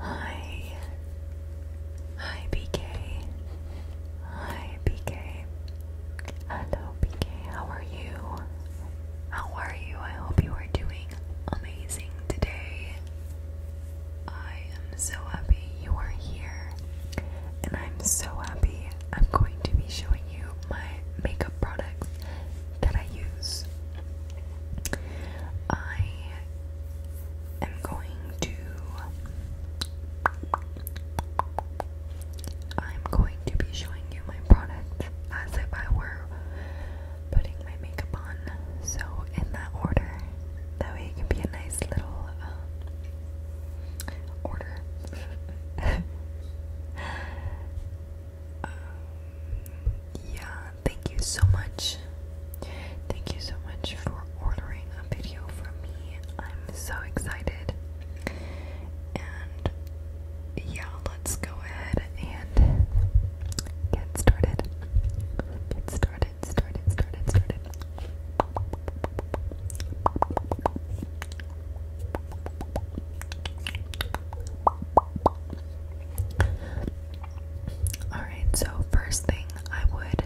Hi. Hi, BK. Hi, BK. Hello, BK. How are you? How are you? I hope you are doing amazing today. I am so happy you are here, and I'm so happy I'm going to be showing you my makeup products that I use. I am going to I'm going to be showing you my product as if I were putting my makeup on, so in that order. That way it can be a nice little um, order. Um, yeah, thank you so much. Thank you so much for ordering a video from me. I'm so excited. And yeah, let's go ahead and get started. Get started, started, started, started. Alright, so first thing I would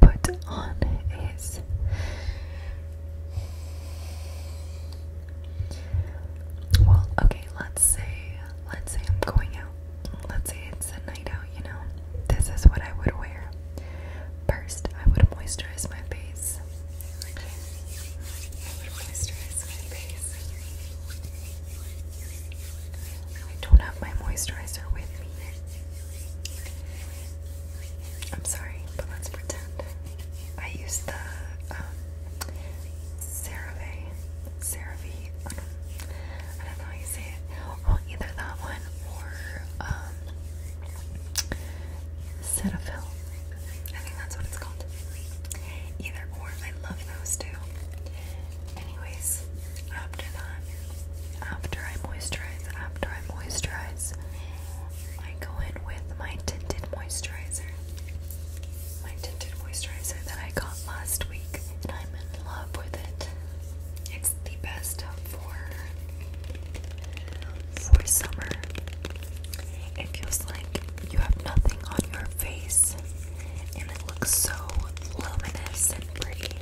put on is well, okay, let's say let's say I'm going out. Let's say it's a night out, you know. This is what I would wear. First, I would moisturize my face. Okay. I would moisturize my face. I don't have my moisturizer with me. I'm sorry, but let's pretend. I use the um, CeraVe, CeraVe, I don't, know how you say it. Well, either that one or um, Cetaphil. I think that's what it's called. Either or, I love those two. Anyways, after that, after I moisturize, after I moisturize, I go in with my tinted moisturizer. My tinted moisturizer that I got last week, and I'm in love with it. It's the best for for summer. It feels like you have nothing on your face, and it looks so luminous and pretty.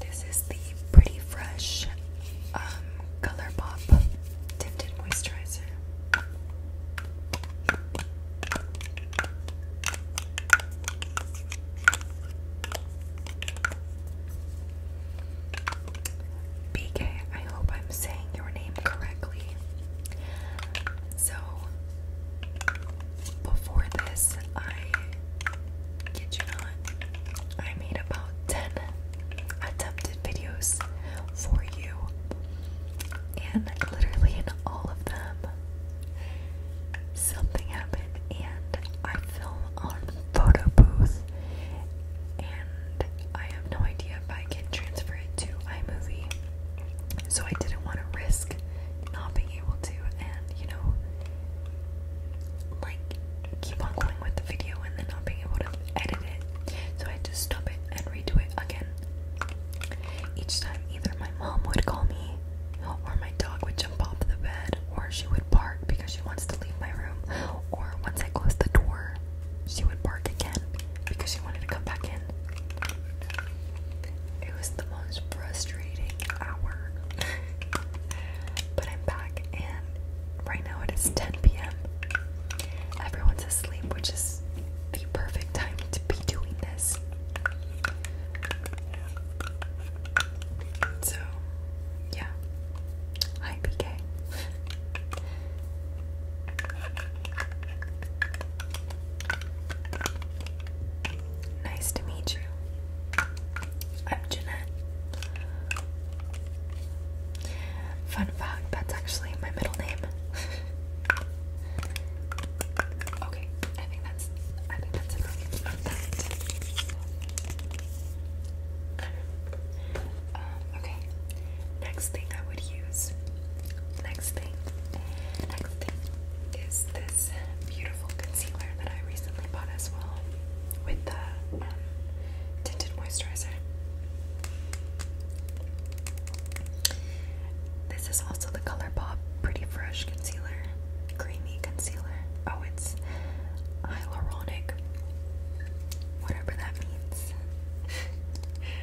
This is the Pretty Fresh um, tinted moisturizer. BK, I hope I'm saying your name correctly. So, before this, I did you not? I made about 10 attempted videos for you, and literally in all of them, something happened, and I film on photo booth, and I have no idea if I can transfer it to iMovie. So I didn't want to risk not being able to, and you know, like keep on going with the video and then not being able to edit it. So I had to stop it and redo it again. Each time, either my mom would call me, or my dog would jump off the bed, or she would bark because she wants to leave my room, or once I closed the door, she would bark again because she wanted to come back in. It was the most frustrating hour but I'm back, and right now it is 10 p.m. Everyone's asleep, which is the perfect time to be doing this. So, yeah. Hi, PK. nice to meet you. I'm Jeanette. Fun fact, that's actually my middle name. okay, I think that's I think that's enough of that. okay. Next thing I would use. Next thing. Next thing is this beautiful concealer that I recently bought as well with the um, tinted moisturizer. This is also the ColourPop Pretty Fresh Concealer, Creamy Concealer. Oh, it's hyaluronic, whatever that means.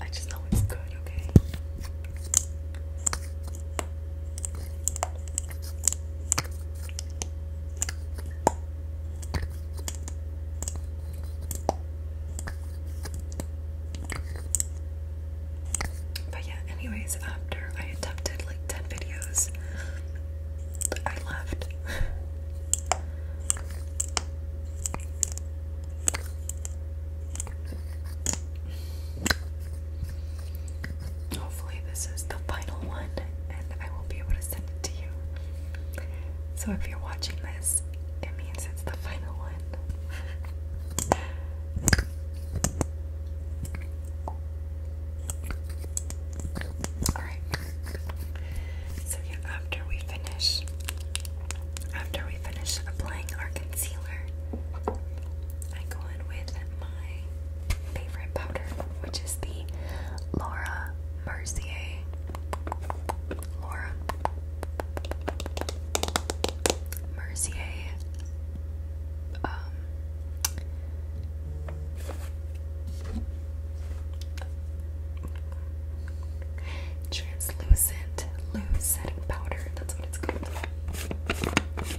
I just know it's good, okay? But yeah, anyways, after I attempted like 10 videos, I left. Hopefully, this is the final one, and I will be able to send it to you. So, if you're watching this, it means it's the final one. Alright. So after we finish after we finish applying our concealer, I go in with my favorite powder, which is the Laura Mercier. Laura Mercier um, translucent powder. That's what it's called.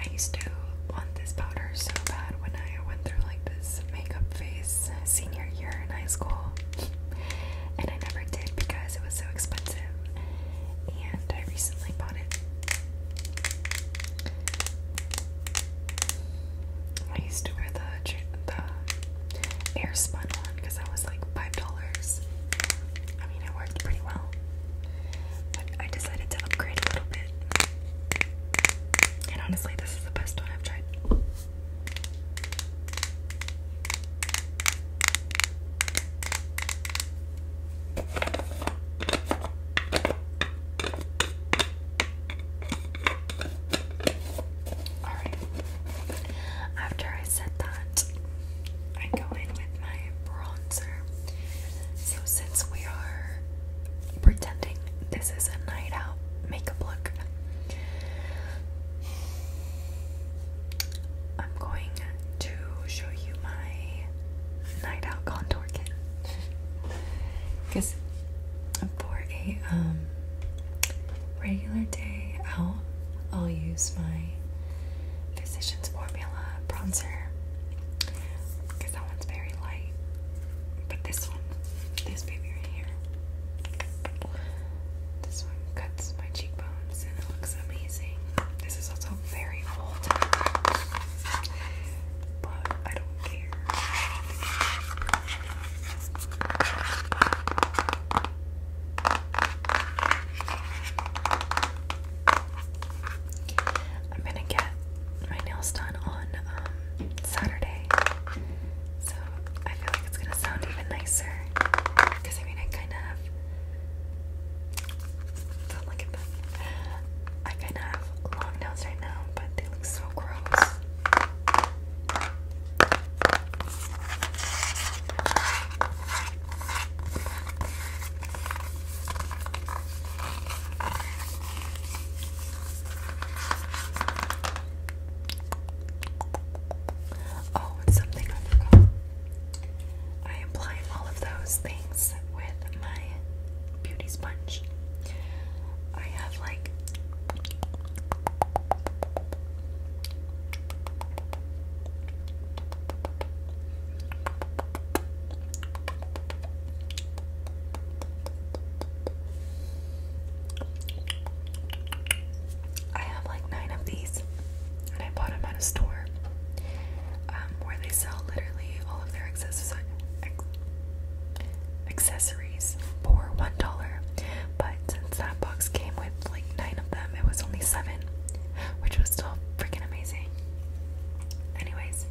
I used to want this powder so bad when I went through like this makeup phase senior year in high school, and I never did because it was so expensive and I recently bought it. I used to wear the the air spun one because that was like five dollars. I mean, it worked pretty well, but I decided to upgrade a little bit. And honestly, this is the best one I've tried. Alright. After I said that, I go in with my bronzer. So since we are pretending this is a night out makeup look, I'm going to show you my night out contour kit because for a um, regular day out, I'll use my Physicians Formula bronzer because that one's very light. But this one, this baby right here, this one cuts my cheekbone it looks amazing. This is also very old. But I don't care. I'm gonna get my nails done on um, Saturday, so I feel like it's gonna sound even nicer. Because I mean, I kind of look at them. I kind of have long nails right now, but they look so gross. Oh, and something I I apply all of those things with my beauty sponge. I have like I have like nine of these, and I bought them at a store um, where they sell literally all of their access ex accessories for one dollar. But since that box came with like nine of them, it was only seven, which was still freaking amazing. Anyways,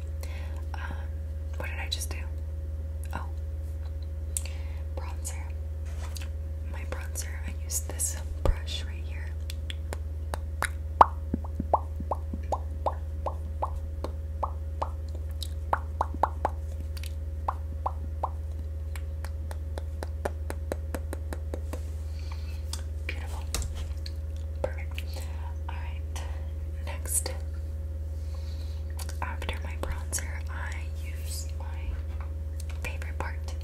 um, what did I just do? Oh, Bronzer. My bronzer, I use this brush right here. Beautiful. Perfect. Alright, next. After my bronzer, I use my favorite part.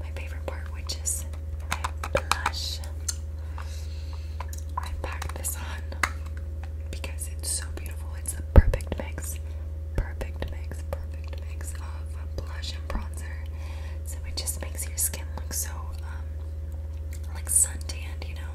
My favorite part, which is my blush. I packed this on because it's so beautiful. It's a perfect mix, perfect mix, perfect mix of blush and bronzer. So it just makes your skin look so um, like sun tanned, you know.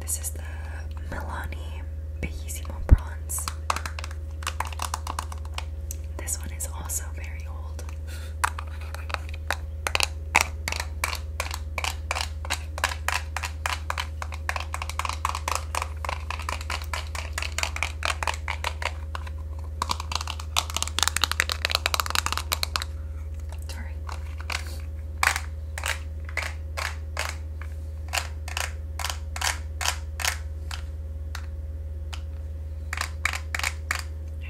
This is the Milani Bellissimo Bronze. This one is also very old. I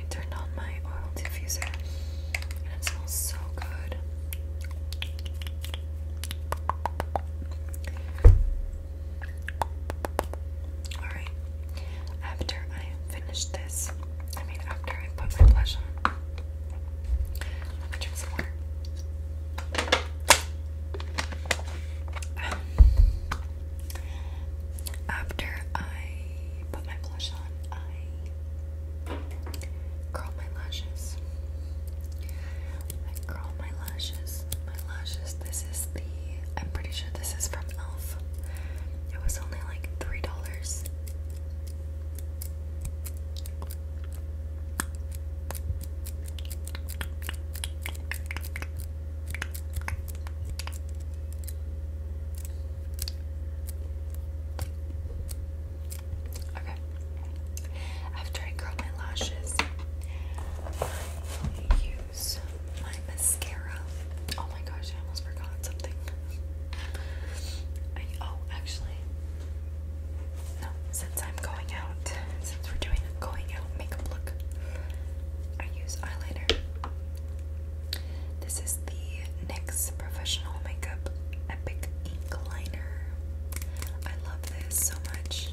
turned on my oil diffuser and it smells so good. Alright, after I finish this, I mean, after I put my blush on, after I put my blush on, I curl my lashes. I curl my lashes. My lashes. This is the. I'm pretty sure this is from Elf. It was only like three dollars. Okay. After I curl my lashes, I use my mascara. Oh my gosh, I almost forgot something. oh, actually, no. Since I'm going out, since we're doing a going out makeup look, I use eyeliner. This is the NYX Professional Makeup Epic Ink Liner. I love this so much.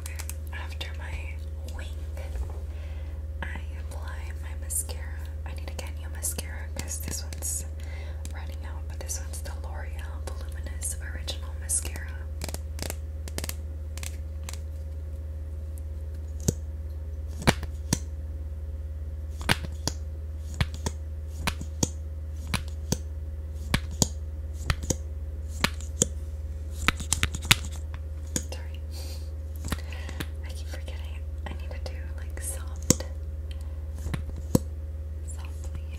Okay, after my wing, I apply my mascara. I need to get new mascara because this one's running out, but this one's the L'Oreal Voluminous Original Mascara. Sorry. I keep forgetting I need to do like soft. Softly.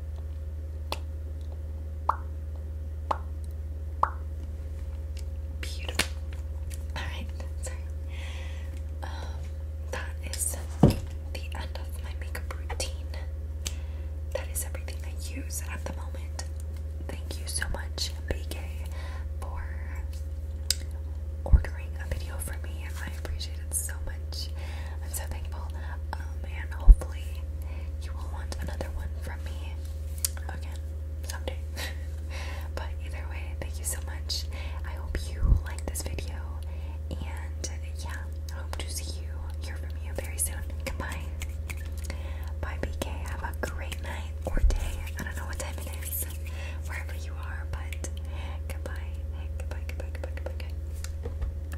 Beautiful. Alright, sorry. Um, that is the end of my makeup routine. That is everything I use at the moment. Thank you so much, BK, for ordering a video for me. I appreciate it so much. I'm so thankful. Um, and hopefully, you will want another one from me again someday. but either way, thank you so much. I hope you like this video, and yeah, I hope to see you, hear from you very soon. Goodbye. Bye, BK. Have a great night or day. I don't know what time it is, wherever you are, but goodbye. Goodbye, goodbye, goodbye, goodbye, goodbye.